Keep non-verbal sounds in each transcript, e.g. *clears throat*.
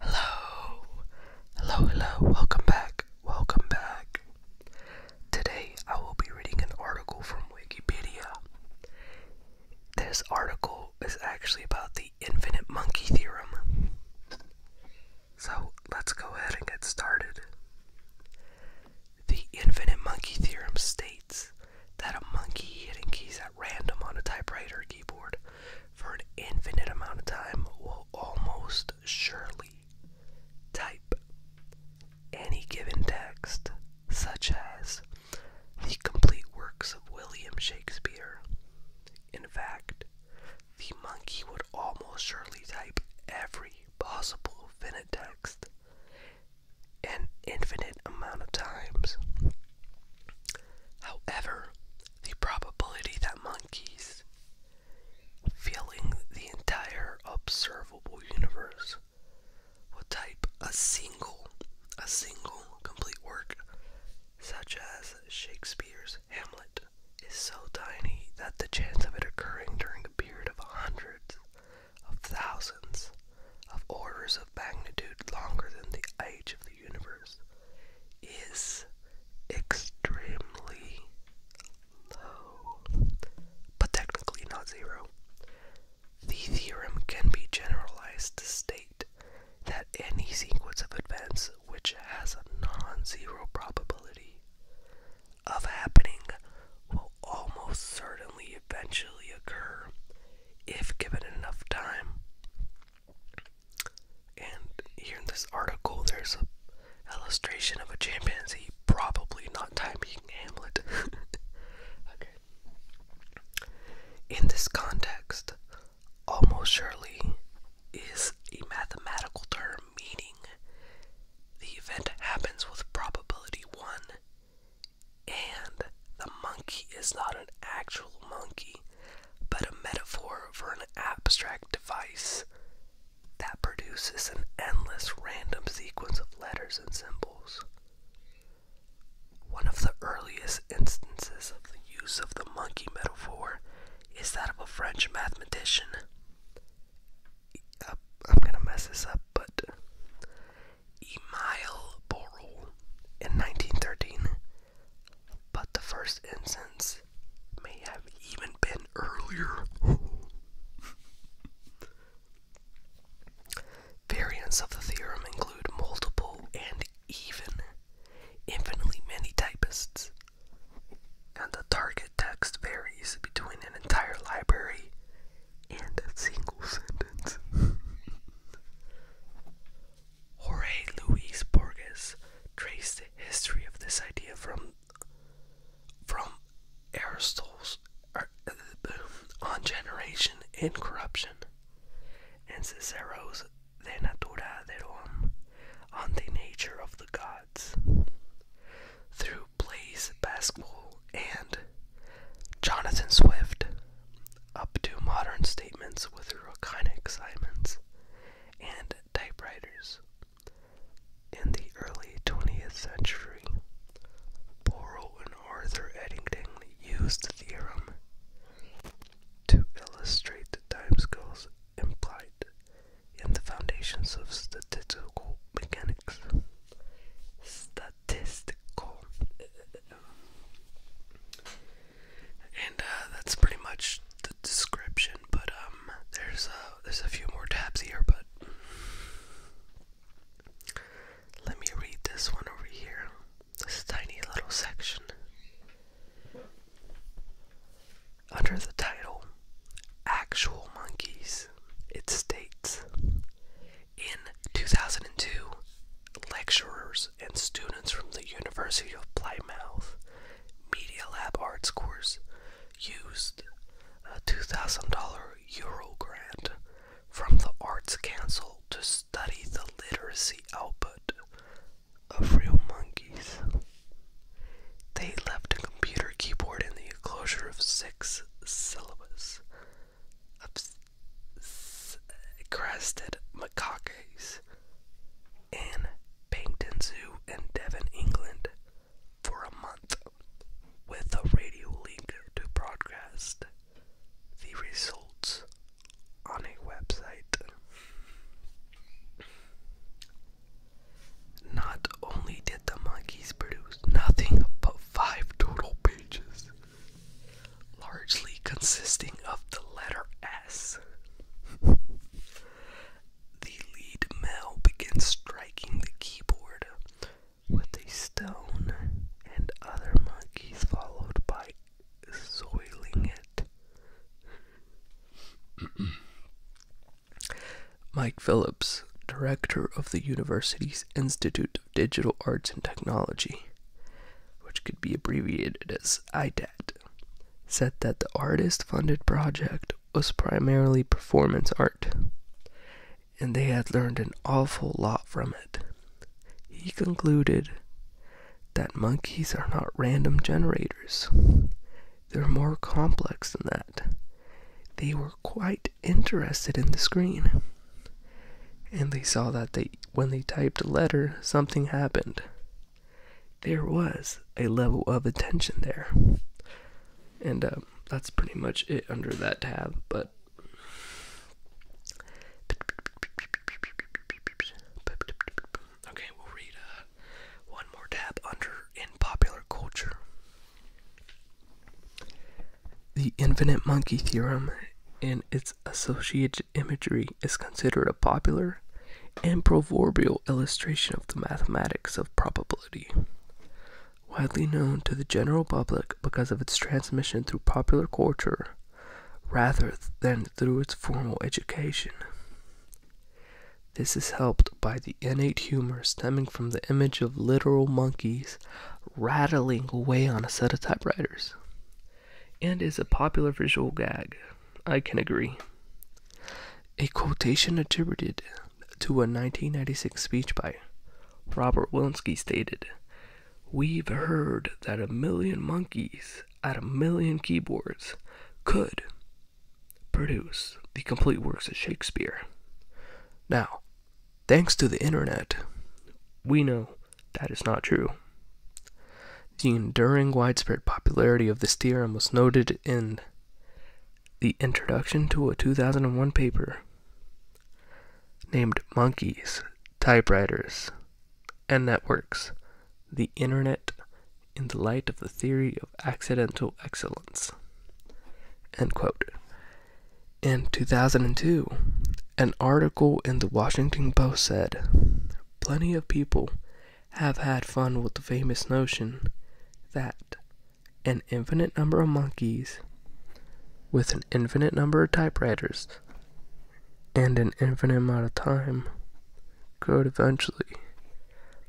Hello, hello, hello, welcome back, welcome back. Today I will be reading an article from Wikipedia. This article is actually about the infinite monkey theorem. So let's go ahead and get started. The infinite monkey theorem states that a monkey hitting keys at random on a typewriter keyboard for an infinite amount of time will almost surely type any given text, such as the complete works of William Shakespeare. In fact, the monkey would almost surely type every possible finite text an infinite amount of times. However, the probability that monkeys, filling the entire observable universe, would type a single, a single complete work, such as Shakespeare's Hamlet, is so tiny that the chance of it occurring during a period of hundreds of thousands of orders of magnitude longer than the age of the universe is extremely low, but technically not zero. The theorem can be generalized to state that any sequence of events which has a non-zero probability of happening will almost certainly eventually occur if given enough time. And here in this article, there's a illustration of a chimpanzee probably not typing Hamlet. *laughs* In this context, almost surely is a mathematical term meaning the event happens with probability 1 and the monkey is not an actual monkey, but a metaphor for an abstract device that produces an endless random sequence of letters and symbols. One of the earliest instances of the use of the monkey metaphor is that of a French mathematician. I'm gonna mess this up, but Emile Borel in 1913 but the first instance may have even been earlier. *laughs* Variants of the theorem include multiple and even, infinitely many typists, and the target text varies between an entire library and a single sentence. *laughs* Jorge Luis Borges traced the history of this idea from from Aristotle's er, *clears throat* on generation and corruption, and Cicero's De Natura Deum on the nature of the gods. Through Blaise Pascal and Jonathan Swift, up to modern statements with Rokynic Simons and typewriters. In the early 20th century, Borrow and Arthur Eddington used the theorem to illustrate the time scales implied in the foundations of statistical mechanics. Statistical. And uh, that's pretty much the description. But um, there's uh, there's a few more tabs here, but let me read this one over here. This tiny little section under the title "Actual Monkeys." It states in 2002, lecturers and students from the University of Plymouth Media Lab Arts course used a $2,000 Euro grant from the Arts Council to study the literacy output of real monkeys. They left a computer keyboard in the enclosure of six syllabus of crested macaques in Paddington Zoo in Devon, England for a month with a radio link to broadcast the results on a website. Not only did the monkeys produce nothing but five total pages largely consisting of the letter S. The lead male begins striking the keyboard with a stone, and other monkeys followed by soiling it. *clears throat* Mike Phillips, director of the university's Institute Digital Arts and Technology, which could be abbreviated as IDAT, said that the artist funded project was primarily performance art, and they had learned an awful lot from it. He concluded that monkeys are not random generators, they're more complex than that. They were quite interested in the screen and they saw that they when they typed a letter something happened there was a level of attention there and um, that's pretty much it under that tab but okay we'll read uh, one more tab under in popular culture the infinite monkey theorem and its associated imagery is considered a popular and proverbial illustration of the mathematics of probability. Widely known to the general public because of its transmission through popular culture rather than through its formal education. This is helped by the innate humor stemming from the image of literal monkeys rattling away on a set of typewriters and is a popular visual gag. I can agree. A quotation attributed to a 1996 speech by Robert Wilensky stated, We've heard that a million monkeys at a million keyboards could produce the complete works of Shakespeare. Now, thanks to the internet, we know that is not true. The enduring widespread popularity of this theorem was noted in the introduction to a 2001 paper named Monkeys, Typewriters, and Networks The Internet in the Light of the Theory of Accidental Excellence. In 2002, an article in the Washington Post said, Plenty of people have had fun with the famous notion that an infinite number of monkeys with an infinite number of typewriters and an infinite amount of time could eventually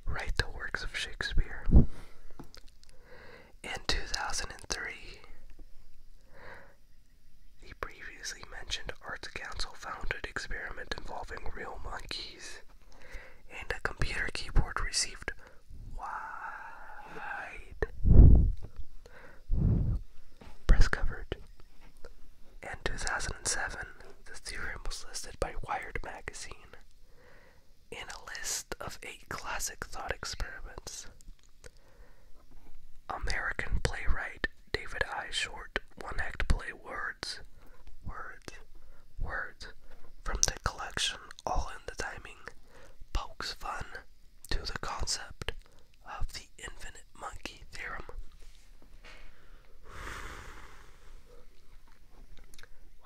write the works of Shakespeare. In 2003, the previously mentioned Arts Council funded experiment involving real monkeys, and a computer keyboard received wide press coverage. In 2007, the theorem was listed by Wired magazine in a list of eight classic thought experiments. American playwright David I. Short one act play Words, Words, Words from the collection All in the Timing pokes fun to the concept of the infinite monkey theorem.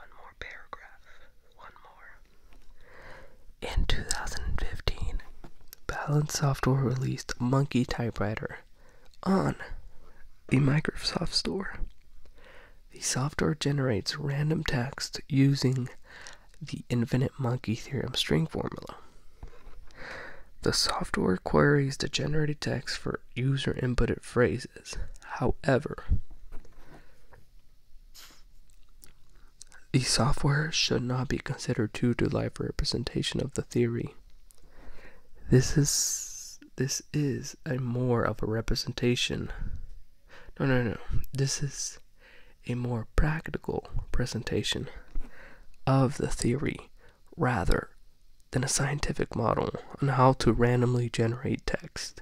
One more paragraph, one more. In 2015, Balance Software released Monkey Typewriter on the Microsoft Store. The software generates random text using the infinite monkey theorem string formula. The software queries the generated text for user inputted phrases. However, the software should not be considered too to life representation of the theory. This is this is a more of a representation. No, no, no. This is a more practical presentation of the theory rather than a scientific model on how to randomly generate text.